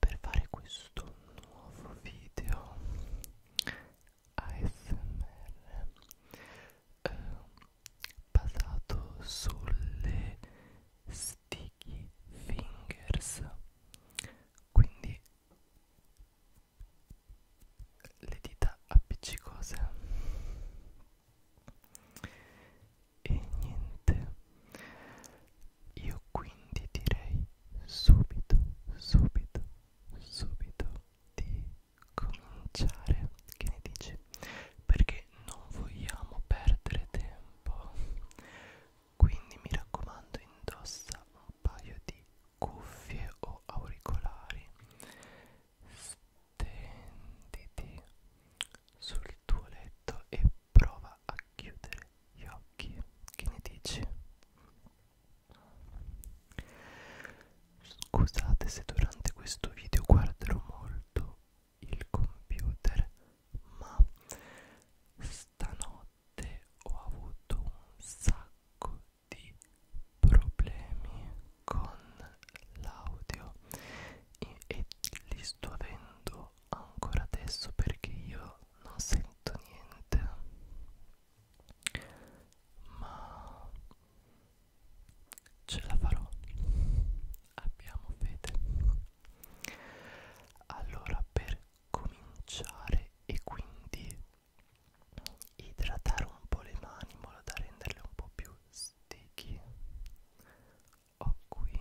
per fare questo nuovo video ASMR eh, basato sulle sticky fingers quindi le dita appiccicose e niente io quindi direi subito, subito, subito di cominciare. Che ne dici? Perché non vogliamo perdere tempo. Quindi mi raccomando, indossa un paio di cuffie o auricolari. Stenditi sul tuo letto e prova a chiudere gli occhi che ne dici scusate se durante questo video guarderò molto il computer ma stanotte ho avuto un sacco di problemi con l'audio e, e li sto avendo solo ancora adesso perché io non sento niente ma ce la farò abbiamo fede allora per cominciare e quindi idratare un po' le mani in modo da renderle un po' più sticky ho qui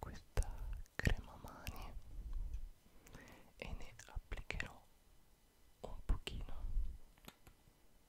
questa crema mani e ne applicherò un pochino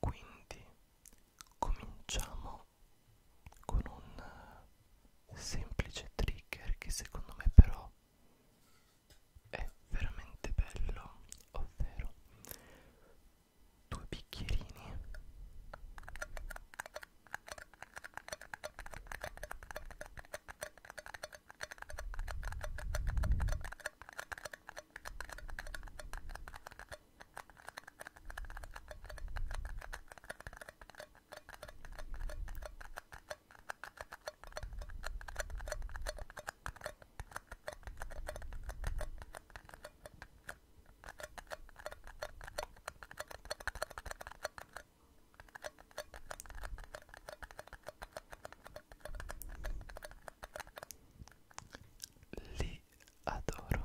Quindi cominciamo con un semplice trigger che secondo me però è veramente bello ovvero due bicchierini li adoro.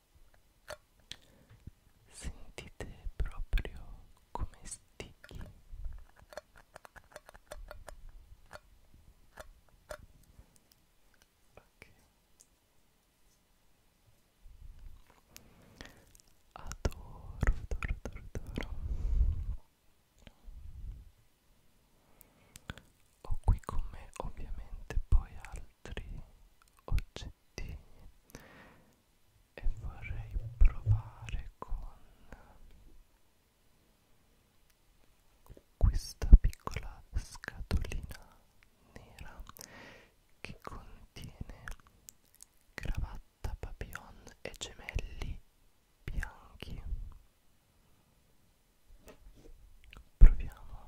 Sentite proprio come sticchi. Okay. Adoro, adoro, adoro, adoro. Ho qui con me ovviamente poi al altri oggettini e vorrei provare con questa piccola scatolina nera che contiene cravatta papillon e gemelli bianchi proviamo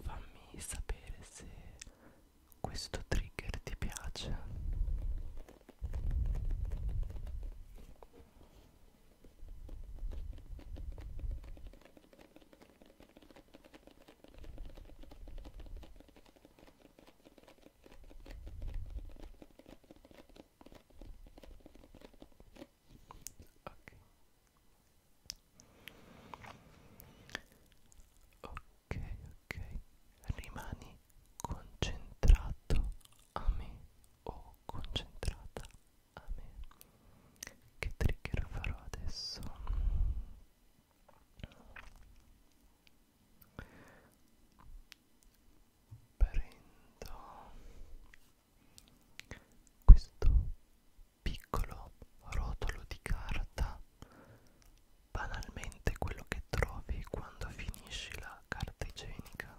Fammi sapere se questo trigger ti piace. Ok. Ok, ok. Rimani concentrato a me o concentrata a me che trigger farò adesso prendo questo piccolo rotolo di carta banalmente quello che trovi quando finisci la carta igienica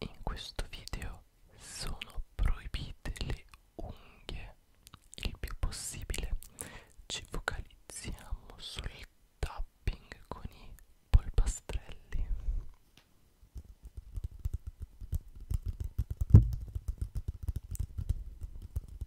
In questo video sono proibite le unghie il più possibile. Ci focalizziamo sul tapping con i polpastrelli.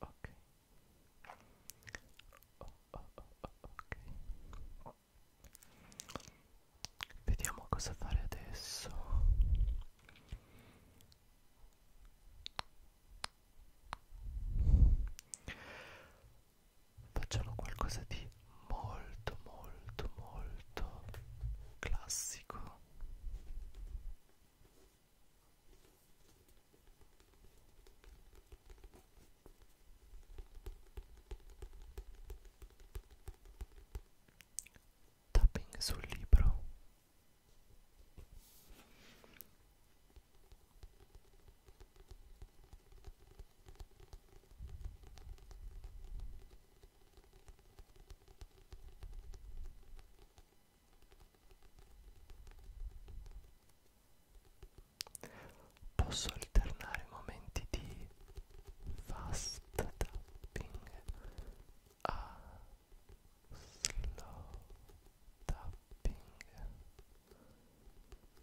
ok oh, oh, oh, ok vediamo cosa fare adesso facciano qualcosa di molto molto molto classico tapping sul libro Posso alternare momenti di fast tapping a slow tapping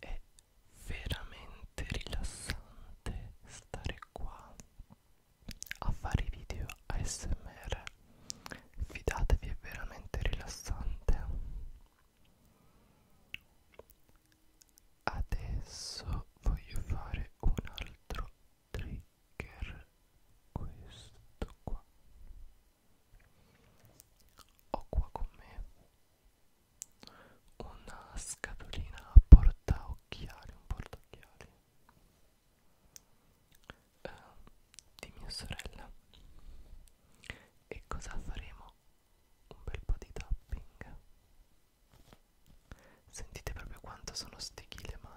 È veramente rilassante stare qua a fare i video ASMR. Fidatevi, è veramente rilassante. Adesso voglio fare un altro trigger questo qua ho qua con me una scatolina a porta occhiali un porta occhiali eh, di mia sorella e cosa faremo? un bel po' di tapping sentite proprio quanto sono stichi le mani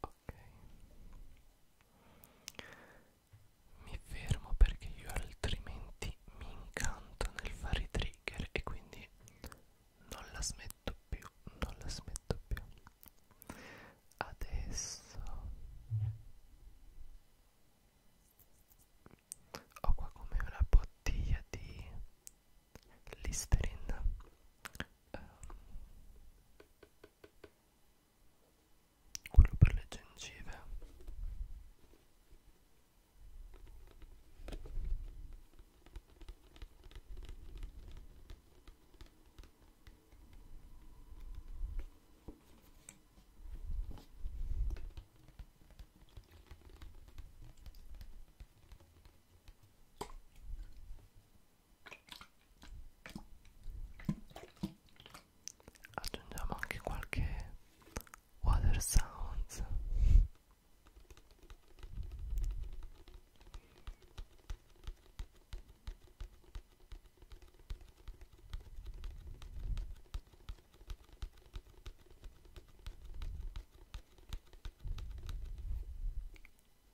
ok mi fermo perché io altrimenti mi incanto nel fare i trigger e quindi non la smetto più non la smetto più adesso ho qua come una bottiglia di Listerine um, quello per le gengive aggiungiamo anche qualche water sounds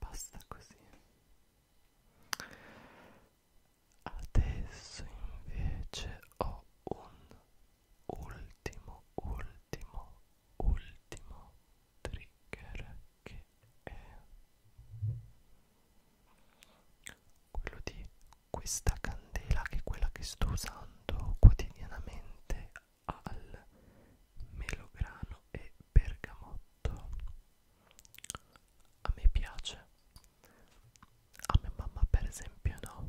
Basta così. Adesso invece ho un ultimo, ultimo, ultimo trigger che è quello di questa candela che è quella che sto usando quotidianamente al melograno e bergamotto. A me piace a mia mamma per esempio no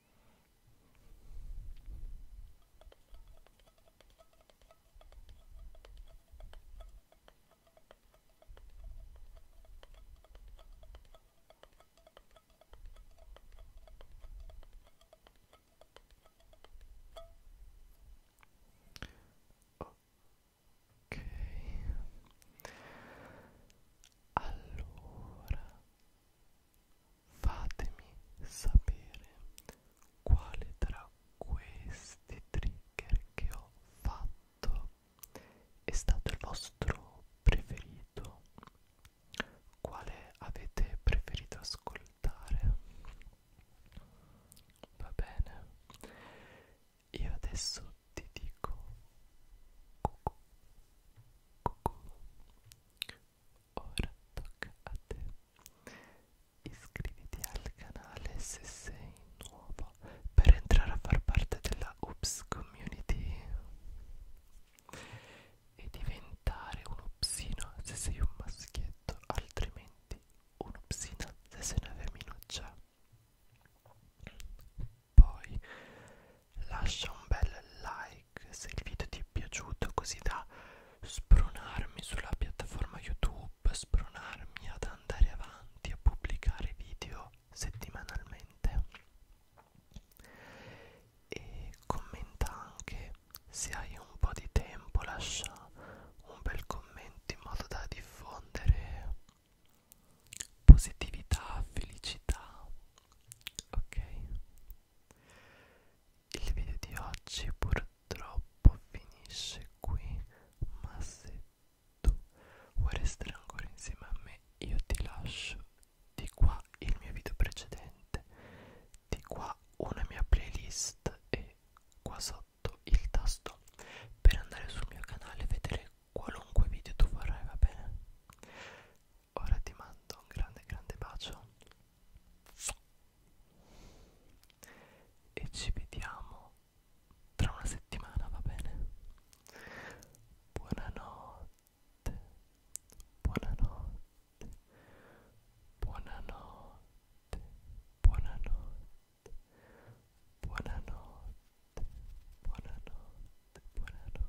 Ok, allora fatemi sapere quale tra questi trigger che ho fatto è stato il vostro preferito quale avete preferito ascoltare va bene io adesso ti dico cucù cucù Ora tocca a te. Iscriviti al canale se sei nuovo per entrare a far parte della Ups Community e diventare un upsino se sei un maschietto, altrimenti un'upsina se sei una femminuccia. Poi lascia un bel like like se il video ti è piaciuto così da spronarmi sulla piattaforma YouTube, spronarmi ad andare avanti a pubblicare video settimanalmente e commenta anche se hai un po' di tempo lascia un bel commento in modo da diffondere positività, felicità, ok? Il video di oggi purtroppo finisce qui, ma se tu vuoi restare ancora insieme a me io ti lascio di qua il mio video precedente, di qua una mia playlist e qua sotto il tasto per andare sul mio canale e vedere qualunque video tu vorrai, va bene? Ora ti mando un grande grande bacio e ci vediamo tra una settimana, va bene? Buonanotte, buonanotte, buonanotte, buonanotte, buonanotte, buonanotte, buonanotte. buonanotte.